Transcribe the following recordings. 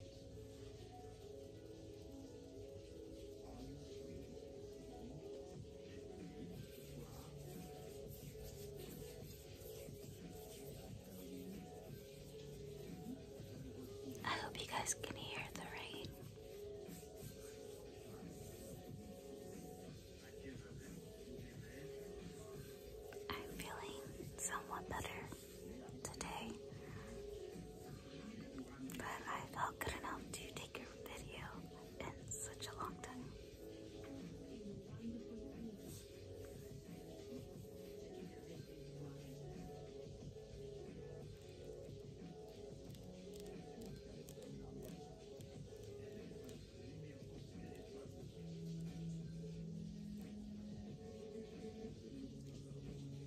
I hope you guys can hear the rain. I'm feeling somewhat better today, but I felt good enough to take your video in such a long time.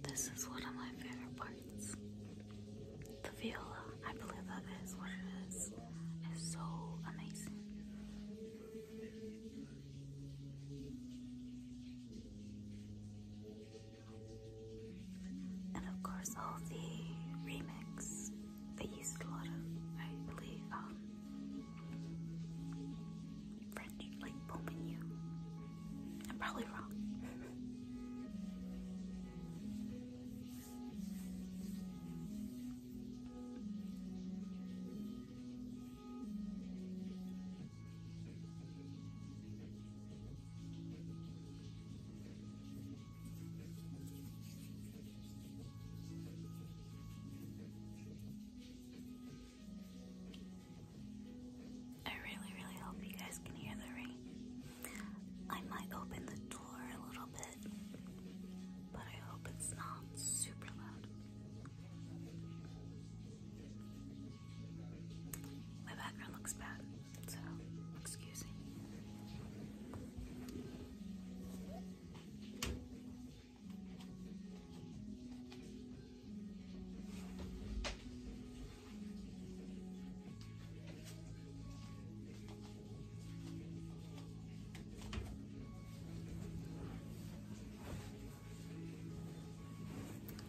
This is one of my favorite parts. The viola, I believe that is what it is, is so amazing. And of course, all the remix. They used a lot of, I believe, um, French, like bon menu. I'm probably wrong. I really, really hope you guys can hear the rain. I might open the door a little bit, but I hope it's not super loud. My background looks bad, so excuse me.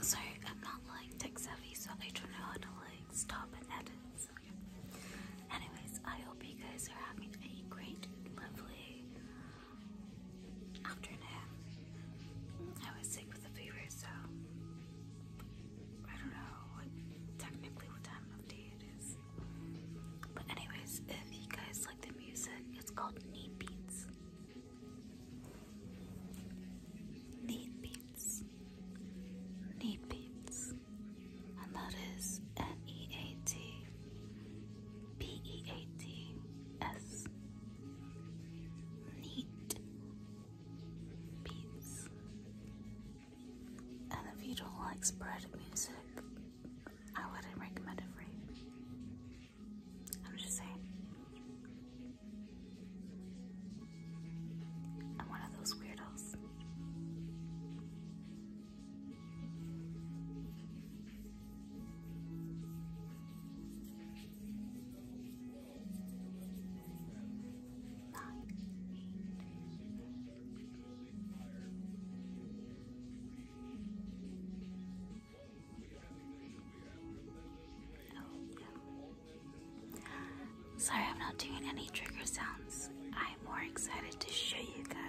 So I'm not like tech savvy, so I don't know how to like stop and edit. Anyways, I hope you guys are having a great, lovely after I was sick with a fever, so I don't know technically what time of day it is. But anyways, if you guys like the music, it's called Neat Beats. Neat Beats. Neat Beats and that is N E A T P E A T S. Neat beats. And if you don't like spread music, I wouldn't recommend it for you. I'm just saying. I'm one of those weirdos. Sorry, I'm not doing any trigger sounds. I'm more excited to show you guys.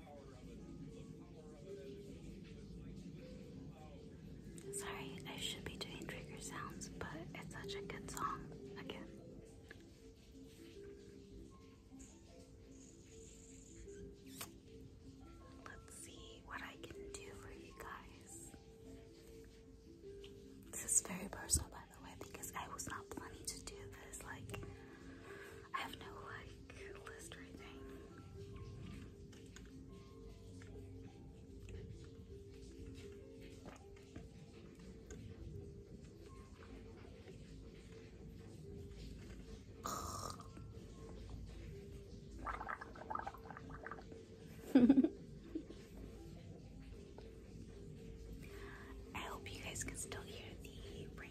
Sorry, I should be doing trigger sounds, but it's such a good song again. Let's see what I can do for you guys. This is very personal, by the way, because I was not planning to do this. Like, I have no I hope you guys can still hear the rain.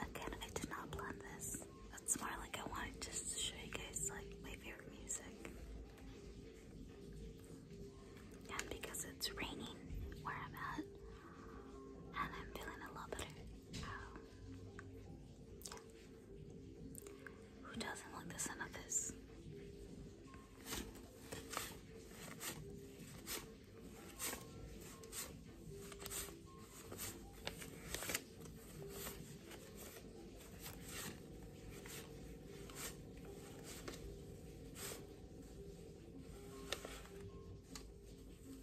Again, I did not plan this. It's more like I wanted just to show you guys like my favorite music. And because it's raining where I'm at, and I'm feeling a lot better, um, who doesn't like the sound of this?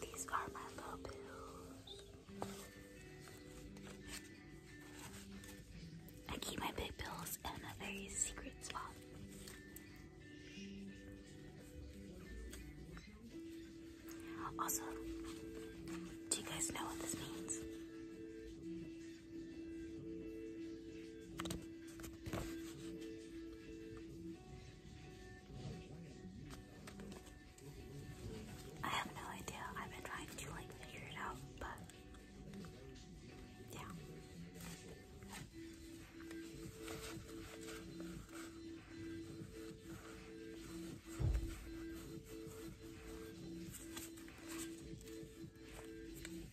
These are my little pills. I keep my big bills in a very secret spot. Also, do you guys know what this means? I have no idea. I've been trying to like figure it out, but yeah.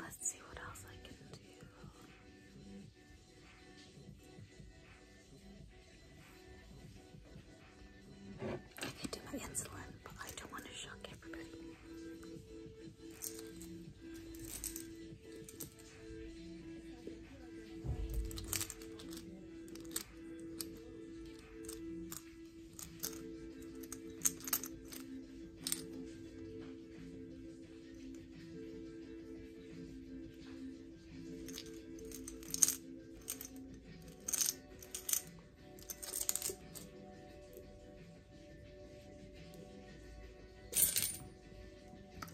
Let's see what else I can do. I can do my insulin, but I don't want to shock everybody.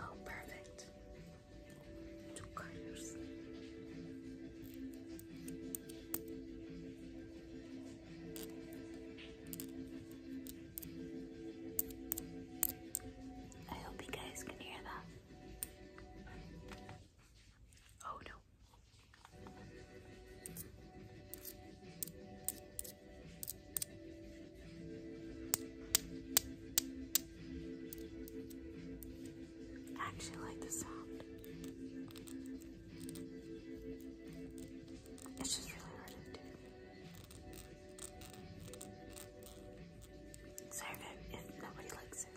Oh, perfect. Two colors. I hope you guys can hear that. Oh no. actually like the sound. It's just really hard to do. Sorry if, if nobody likes it.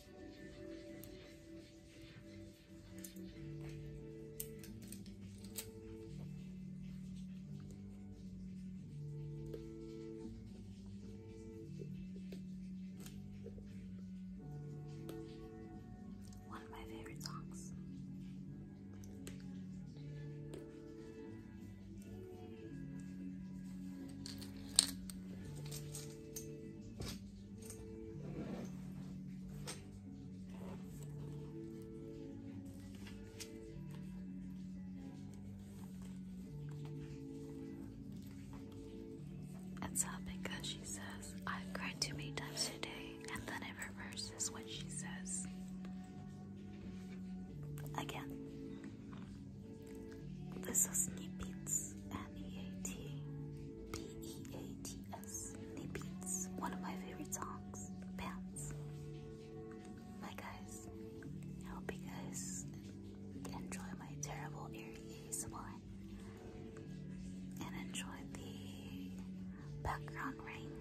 One of my favorite songs. It's up because she says, I've cried too many times today, and then it reverses what she says. Again. This is Snippets, N-E-A-T-P-E-A-T-S, Snippets, one of my favorite songs, Pants. Hi guys, I hope you guys enjoy my terrible eerie ASMR and enjoy the background rain.